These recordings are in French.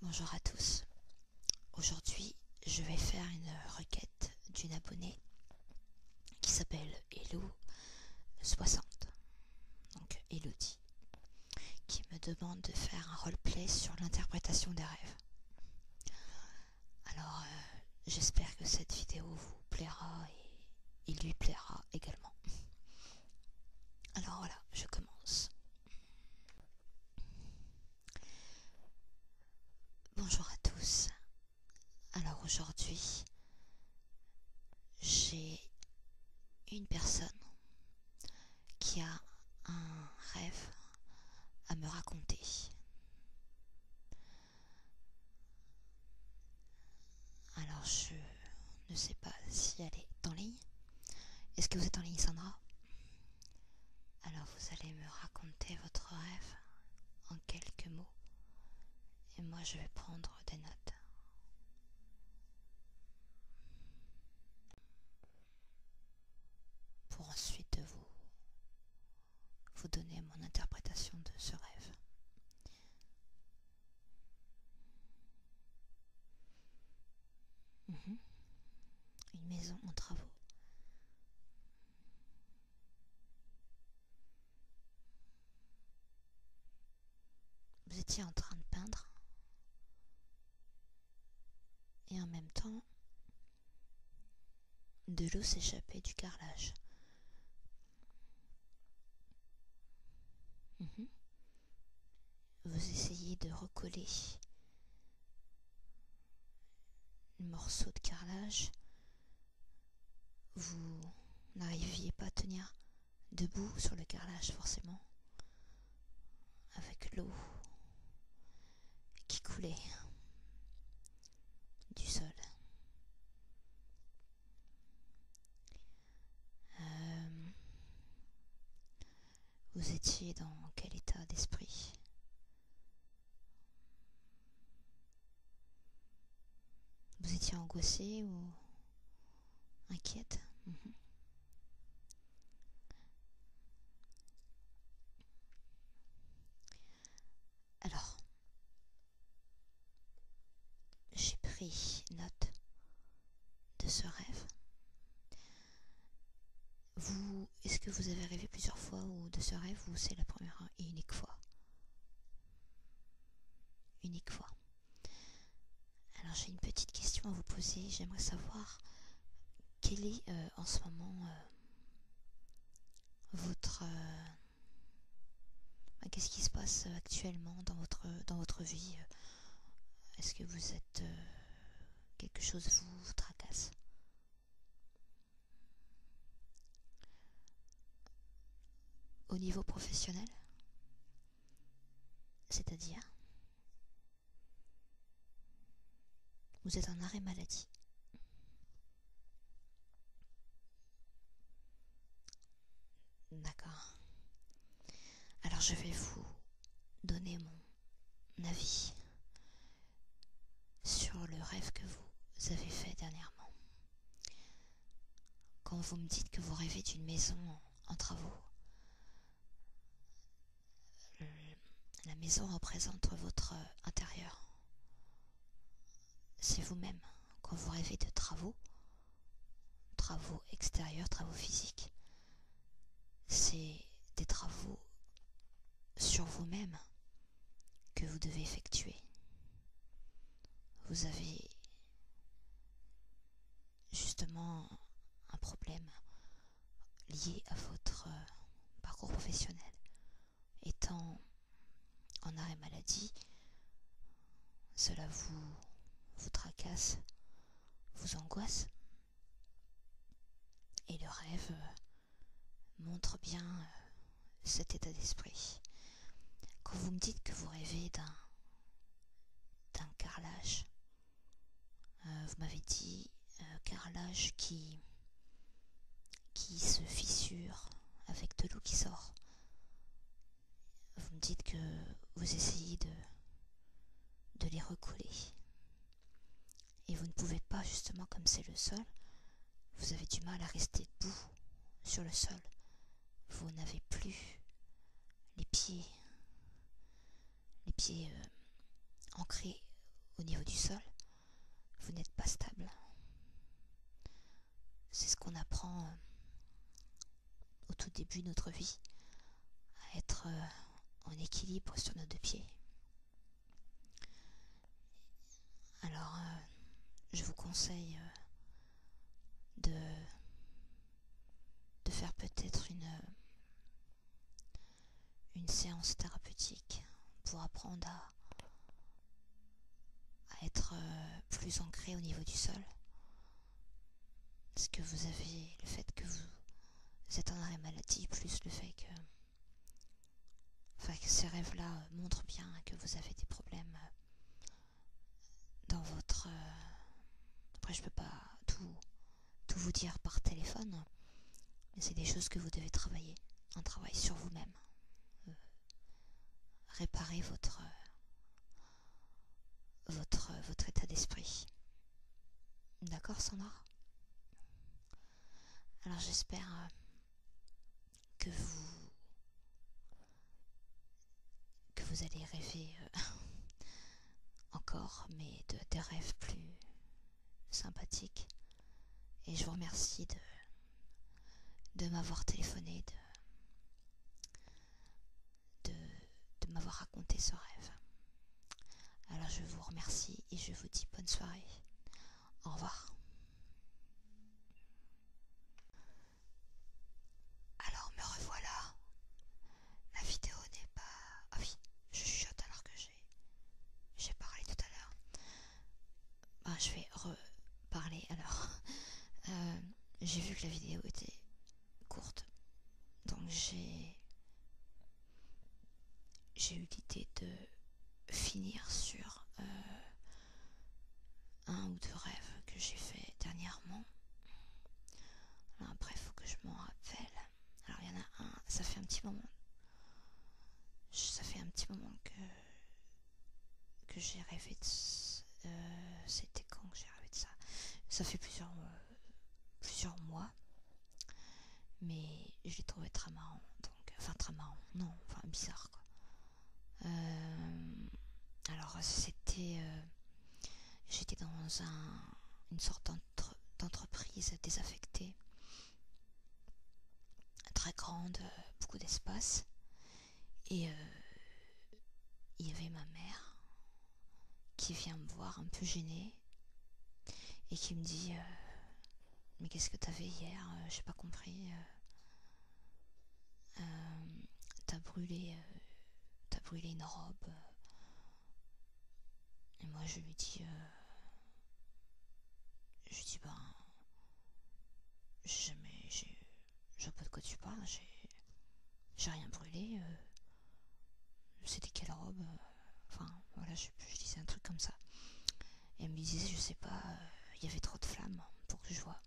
Bonjour à tous. Aujourd'hui, je vais faire une requête d'une abonnée qui s'appelle elou 60 Donc Elodie. Qui me demande de faire un roleplay sur l'interprétation des rêves. Alors, euh, j'espère que cette vidéo vous plaira et, il lui plaira également. Alors voilà, je commence. Bonjour à tous. Alors aujourd'hui, j'ai une personne qui a un rêve à me raconter. Alors je ne sais pas si elle est en ligne. Est-ce que vous êtes en ligne Sandra Alors vous allez me raconter votre rêve en quelques mots. Et moi je vais prendre des notes. Pour ensuite vous, vous donner mon interprétation de ce rêve. Mhm. Une maison en travaux. Vous étiez en train de peindre et en même temps de l'eau s'échappait du carrelage. Mhm. Vous essayez de recoller le morceau de carrelage. Vous n'arriviez pas à tenir debout sur le carrelage forcément avec l'eau qui coulait du sol. Euh, vous étiez dans quel état d'esprit Vous étiez angoissé ou inquiète mhm. Alors, j'ai pris note de ce rêve. Vous, est-ce que vous avez rêvé plusieurs fois ou de ce rêve ou c'est la première et unique fois Unique fois. Alors j'ai une petite question à vous poser. J'aimerais savoir quel est euh, en ce moment euh, votre euh, ah, qu'est-ce qui se passe euh, actuellement dans votre, euh, dans votre vie euh Est-ce que vous êtes... quelque chose vous, vous tracasse Au niveau professionnel C'est-à-dire Vous êtes en arrêt maladie D'accord. Alors je vais vous donner mon avis sur le rêve que vous avez fait dernièrement. Quand vous me dites que vous rêvez d'une maison en, vous, travaux, euh, la maison représente votre intérieur, c'est vous-même quand vous rêvez de travaux, travaux extérieurs, travaux physiques. C'est des travaux sur vous-même que vous devez effectuer. Vous avez justement un problème lié à votre euh, parcours professionnel, étant en arrêt maladie, cela vous, vous tracasse, vous angoisse. Et le rêve euh, montre bien euh, cet état d'esprit. Quand vous me dites que vous rêvez d'un carrelage, euh, vous m'avez dit carrelage qui qui se fissure avec de l'eau qui sort. Vous me dites que vous essayez de, les recoller. Et vous ne pouvez pas, justement, comme c'est le sol, vous avez du mal à rester debout sur le sol. Vous n'avez plus les pieds, euh, ancrés au niveau du sol. Vous n'êtes pas stable. C'est ce qu'on apprend euh, au tout début de notre vie, à être euh, en équilibre sur nos deux pieds. Alors, euh, je vous conseille de, faire peut-être une séance thérapeutique pour apprendre à à être euh, plus ancré au niveau du sol. Parce que vous avez le fait que vous êtes en arrêt maladie, plus le fait que, enfin, que ces rêves-là euh, montrent bien que vous avez des problèmes euh, dans votre... Après, je ne peux pas tout, tout vous dire par téléphone, mais c'est des choses que vous devez travailler, un travail sur vous-même réparer votre, votre, état d'esprit. D'accord, Sandra Alors j'espère euh, que vous que vous allez rêver euh, encore, mais de, des rêves plus sympathiques. Et je vous remercie de de m'avoir téléphoné, de, de, m'avoir raconté ce rêve. Alors je vous remercie et je vous dis bonne soirée. Au revoir. Alors me revoilà. La vidéo n'est pas... Ah oui, je chuchote alors que j'ai... J'ai parlé tout à l'heure. Bah, je vais reparler alors. Euh, j'ai vu que la vidéo était courte. Donc j'ai. eu l'idée de finir sur euh, un ou deux rêves que j'ai fait dernièrement. Alors après, faut que je m'en rappelle. Alors il y en a un, ça fait un petit moment. Ça fait un petit moment que que j'ai rêvé de ça euh, c'était quand que j'ai rêvé de ça ça fait plusieurs plusieurs mois mais je l'ai trouvé très marrant donc enfin très marrant non enfin bizarre quoi euh, alors c'était euh, j'étais dans un une sorte d'entreprise désaffectée très grande beaucoup d'espace et euh, il y avait ma mère qui vient me voir un peu gênée et qui me dit euh, Mais qu'est-ce que t'avais hier euh, J'ai pas compris. t'as brûlé, brûlé une robe. Et moi je lui dis, je lui dis ben je, ne Je vois pas de quoi tu parles, j'ai. rien brûlé. Euh, c'était quelle robe euh, Enfin, voilà, je, disais un truc comme ça. Et elle me disait, je sais pas, euh, il y avait trop de flammes pour que je vois.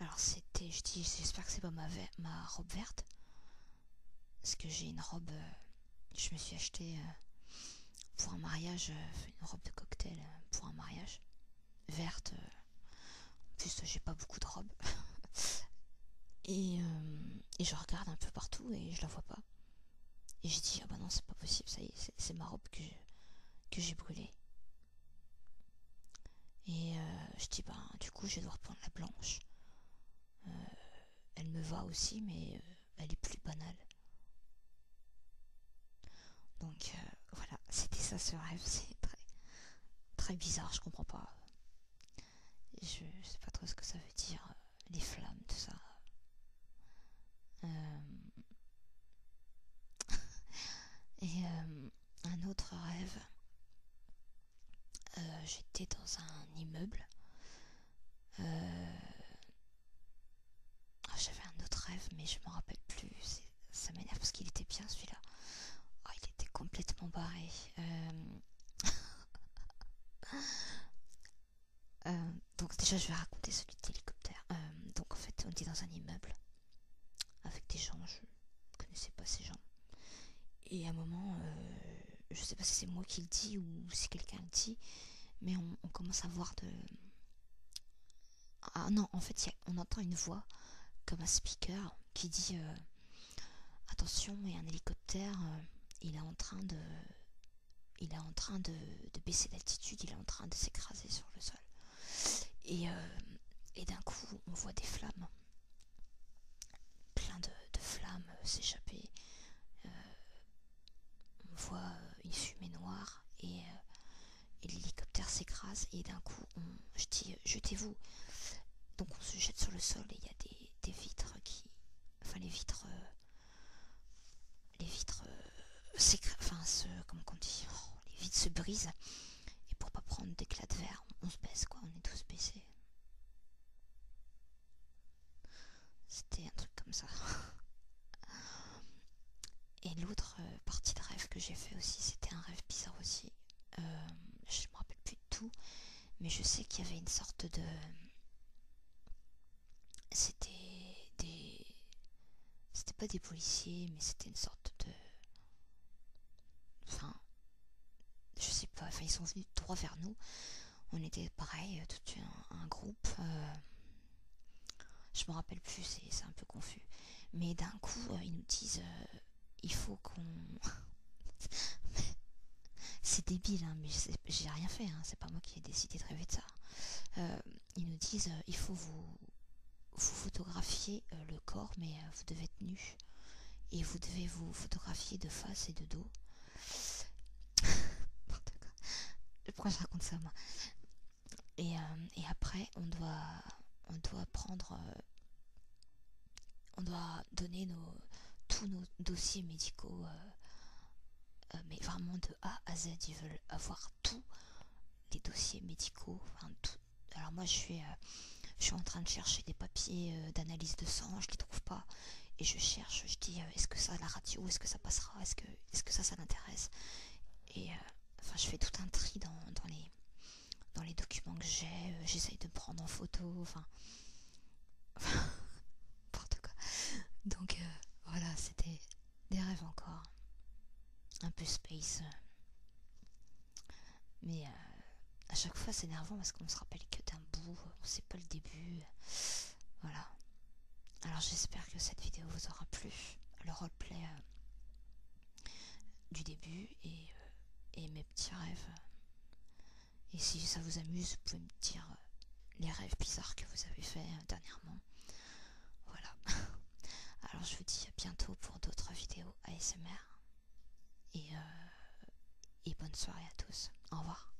Alors c'était, je dis, j'espère que c'est pas ma, robe verte. Parce que j'ai une robe, je me suis achetée, pour un mariage, euh, une robe de cocktail euh, pour un mariage verte. Euh. En plus, j'ai pas beaucoup de robes. et, je regarde un peu partout et je la vois pas. Et je dis, ah bah non, c'est pas possible, ça y est, c'est ma robe que j'ai brûlée. Et je dis, bah du coup, je vais devoir prendre la blanche. elle me va aussi, mais elle est plus banale. Donc euh, voilà, c'était ça ce rêve, c'est très, très bizarre, je comprends pas. Je, sais pas trop ce que ça veut dire, euh, les flammes, tout ça. Euh, et un autre rêve, j'étais dans un immeuble. Ah, j'avais un autre rêve, mais je m'en rappelle plus. Ça m'énerve parce qu'il était bien celui-là. Ah, il était complètement barré. Euh, euh, donc, déjà, je vais raconter celui de l'hélicoptère. Euh, donc, en fait, on est dans un immeuble avec des gens. Je connaissais pas ces gens. Et à un moment, je sais pas si c'est moi qui le dis ou si quelqu'un le dit, mais on commence à voir de ah non, en fait, on entend une voix comme un speaker qui dit euh, attention, il y a un hélicoptère, euh, il est en train de, il est en train de, de baisser d'altitude, il est en train de s'écraser sur le sol. Et, euh, et d'un coup, on voit des flammes, plein de, flammes s'échapper on voit euh, une fumée noire euh, et, l'hélicoptère s'écrase et d'un coup on je dis euh, jetez-vous donc on se jette sur le sol et il y a des, vitres qui enfin les vitres les vitres enfin se comment on dit oh, les vitres se brisent et pour pas prendre d'éclats de verre on se baisse quoi on est tous baissés c'était un truc comme ça. Et l'autre euh, partie de rêve que j'ai fait aussi, c'était un rêve bizarre aussi. Euh, je ne me rappelle plus de tout, mais je sais qu'il y avait une sorte de. C'était des. C'était pas des policiers, mais c'était une sorte de. Enfin. Je sais pas, enfin ils sont venus trois vers nous. On était pareil, euh, tout un, groupe je me rappelle plus, c'est un peu confus. Mais d'un coup, euh, ils nous disent euh, il faut qu'on. c'est débile, hein, mais j'ai rien fait, hein, c'est pas moi qui ai décidé de rêver de ça. Euh, ils nous disent il faut vous, vous photographier le corps, mais vous devez être nu. Et vous devez vous photographier de face et de dos. Pourquoi je raconte ça moi euh, et, après, on doit, on doit prendre, euh, on doit donner nos, tous nos dossiers médicaux, euh, mais vraiment de A à Z. Ils veulent avoir tous les dossiers médicaux. Alors moi, je suis, je suis en train de chercher des papiers d'analyse de sang, je les trouve pas, et je cherche, je dis, est-ce que ça, la radio, est-ce que ça passera Oh, est-ce que, ça, ça t'intéresse Et euh, enfin, je fais tout un tri dans, les, dans les documents que j'ai, euh, j'essaye de prendre en photo, enfin. N'importe quoi. Donc euh, voilà, c'était des rêves encore. Un peu space. Mais à chaque fois c'est énervant parce qu'on se rappelle que d'un bout, on sait pas le début. Voilà. Alors j'espère que cette vidéo vous aura plu, le roleplay euh, du début euh, et, mes petits rêves. Et si ça vous amuse, vous pouvez me dire euh, les rêves bizarres que vous avez fait dernièrement. Voilà. Alors je vous dis à bientôt pour d'autres vidéos ASMR. et bonne soirée à tous. Au revoir.